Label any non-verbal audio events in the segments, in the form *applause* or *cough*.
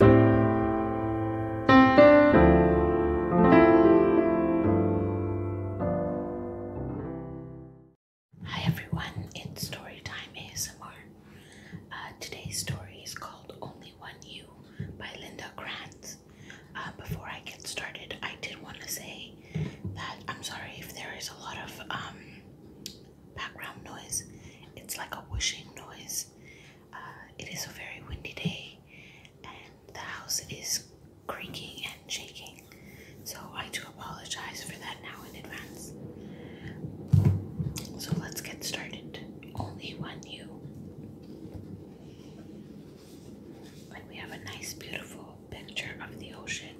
Hi everyone, it's Storytime ASMR. Uh, today's story is called Only One You by Linda Grant. Uh, before I get started, I did want to say that I'm sorry if there is a lot of um, background noise. It's like a whooshing noise. Uh, it is a very windy day, and the house is creaking and shaking. So I do apologize for that now in advance. So let's get started. Only one you. Like we have a nice, beautiful picture of the ocean.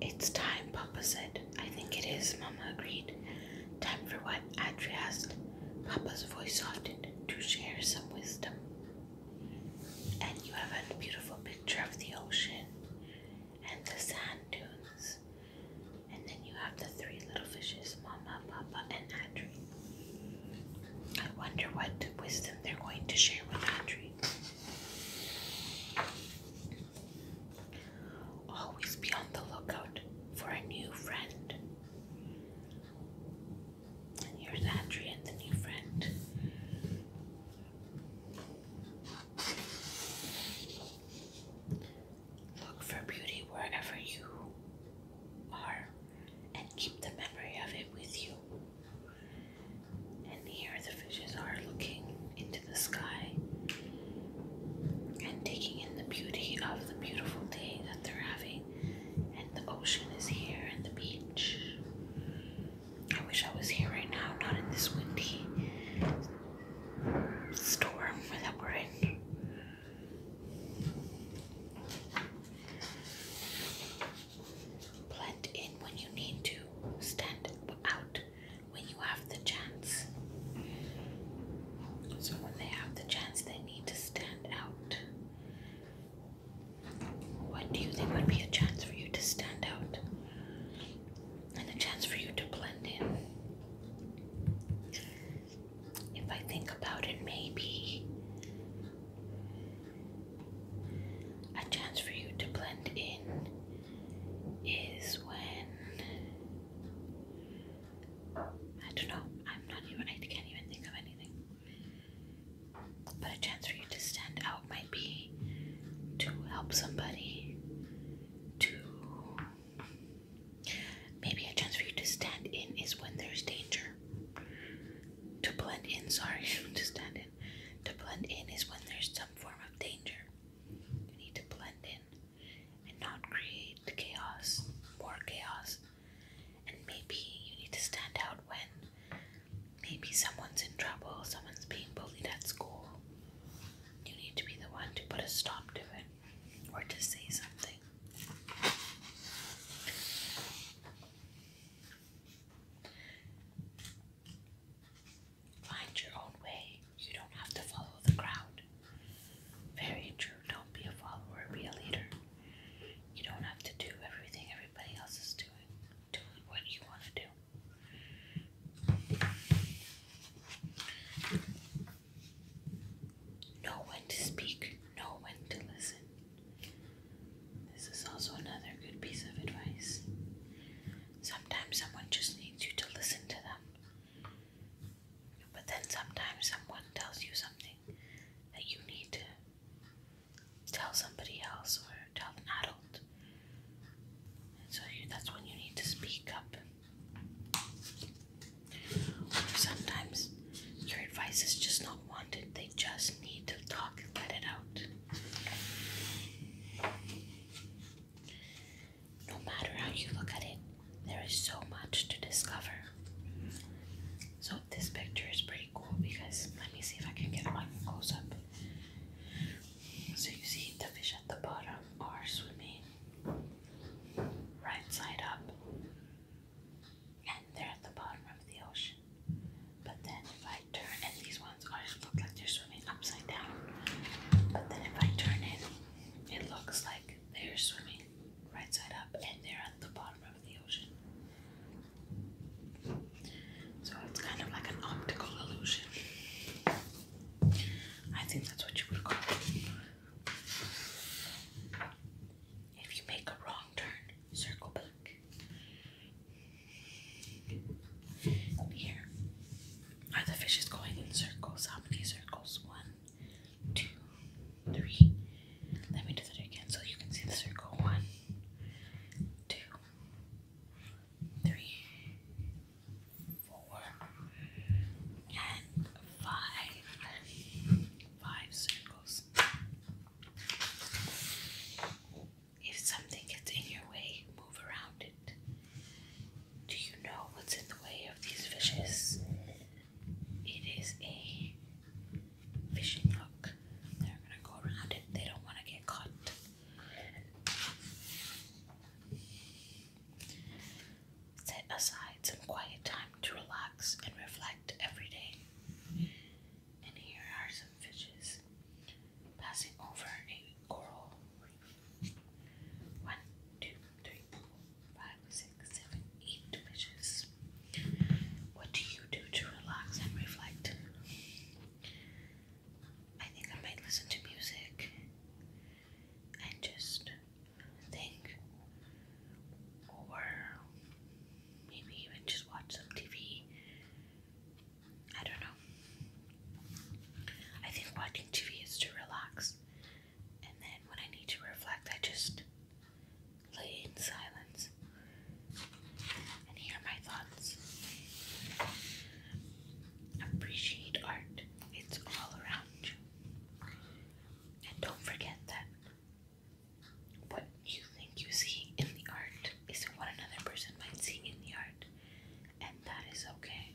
It's time, Papa said. I think it is, Mama agreed. Time for what? Adria asked. Papa's voice softened to share some wisdom. And you have a beautiful picture of the ocean and the sand dunes. And then you have the three little fishes, Mama, Papa, and Adria. I wonder what wisdom they're going to share with Audrey. Always be on the lookout for a new friend. And here's Audrey and the new friend. Look for beauty wherever you are and keep the memory of it with you. And here the fishes are looking into the sky and taking in the beauty of the beautiful day that they're having. And the ocean is here and the beach. I wish I was here right now, not in this windy storm that we're in. Blend in when you need to, stand out when you have the chance. So, when they have the chance, they need to stand out. What do you think would be a chance for you to stand out and a chance for you to blend in? If I think about it, maybe a chance for you to blend in is when I don't know, I'm not even, I can't even think of anything. But a chance for you to stand out might be to help somebody, to maybe a chance for you to stand in is when there's danger. To blend in, sorry, *laughs* to stand in. To blend in is when there's some form of danger. You need to blend in and not create chaos, more chaos. And maybe you need to stand out when maybe someone's in trouble, someone's being bullied at school. You need to be the one to put a stop to it or to say something. Find your own way. You don't have to follow the crowd. Very true. Don't be a follower, be a leader. You don't have to do everything everybody else is doing. Do what you want to do. Know when to speak, know when to listen. This is also another good piece of advice. Sometimes someone just needs you to listen to them. But then sometimes someone tells you something that you need to tell somebody else or tell an adult. And so you, that's when you need to speak up. sometimes your advice is just not wanted just need to talk and let it out. No matter how you look at it, there is so much to discover. So, this picture is pretty cool because let me see if I can get one close up. So, you see the fish at the bottom are swimming right side up, and they're at the bottom of the ocean. But then if I turn, and these ones always look like they're swimming upside down. But then if I turn it, it looks like they're swimming right side up and they're at the bottom of the ocean. So it's kind of like an optical illusion. I think that's what you would call it. If you make a wrong turn, circle back. Here are the fishes going in circles. How many circles? One, two, three. Let me do that again so you can see the circle. One, two, three, four, and five. Five circles. If something gets in your way, move around it. Do you know what's in the way of these fishes? It is a fishing hook. They're gonna go around it, they don't want to get caught. Set aside some quiet time to relax and reflect every day. And here are some fishes passing over a coral reef. One, two, three, four, five, six, seven, eight fishes. What do you do to relax and reflect? I think I might listen to music and just think over maybe even just watch some TV. I don't know. I think watching TV is to relax, and then when I need to reflect, I just lay in silence and hear my thoughts. Appreciate art, it's all around you. And don't forget that what you think you see in the art is what another person might see in the art, and that is okay.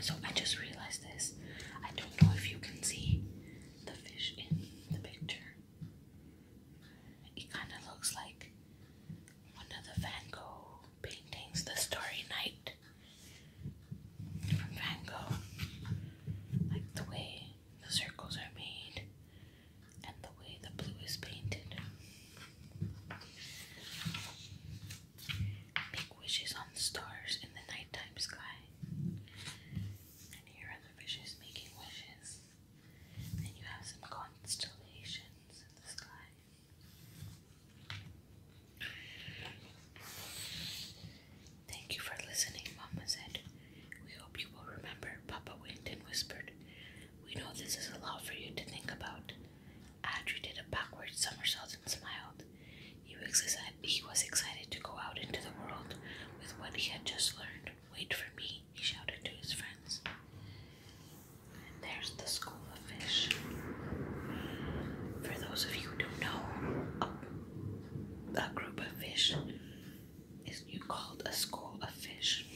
So I just realized this. I don't know if you can see the fish in the picture. It kind of looks like one of the Van Gogh paintings, The Starry Night from Van Gogh. Like the way the circles are made and the way the blue is painted. Make wishes on the stars in the nighttime sky. And here are the fishes making wishes. And you have some constellations in the sky. Thank you for listening, Mama said. We hope you will remember, Papa winked and whispered. We know this is a lot for you to think about. Audrey did a backward somersault and smiled. He was, he was excited to go out into the world with what he had just learned. Wait for me, he shouted to his friends. And there's the school of fish. For those of you who don't know, oh, a group of fish is you called a school of fish.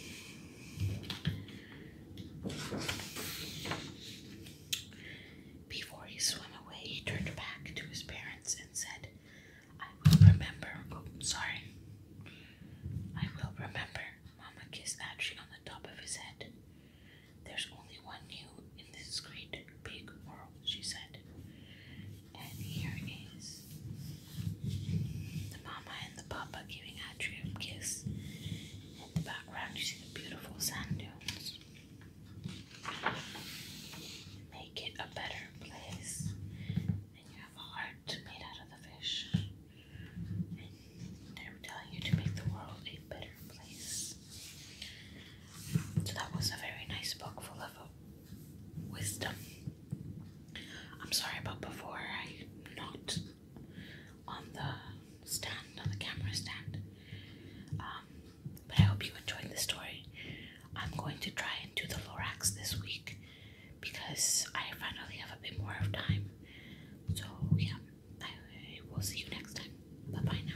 Before he swam away, he turned back to his parents and said, I will remember. Oh, sorry. I will remember. Mama kissed Archie on the top of his head. There's only one you in this great big world, she said. And here is the mama and the papa giving Adria a kiss. In the background, you see the beautiful sand dunes. Make it a better place. And you have a heart made out of the fish. And they're telling you to make the world a better place. So that was a very nice book full of wisdom. I'm sorry about before I not on the stand, on the camera stand. Um, but I hope you enjoyed the story. I'm going to try and do the Lorax this week because I finally have a bit more of time. So, yeah, I will see you next time. Bye bye now.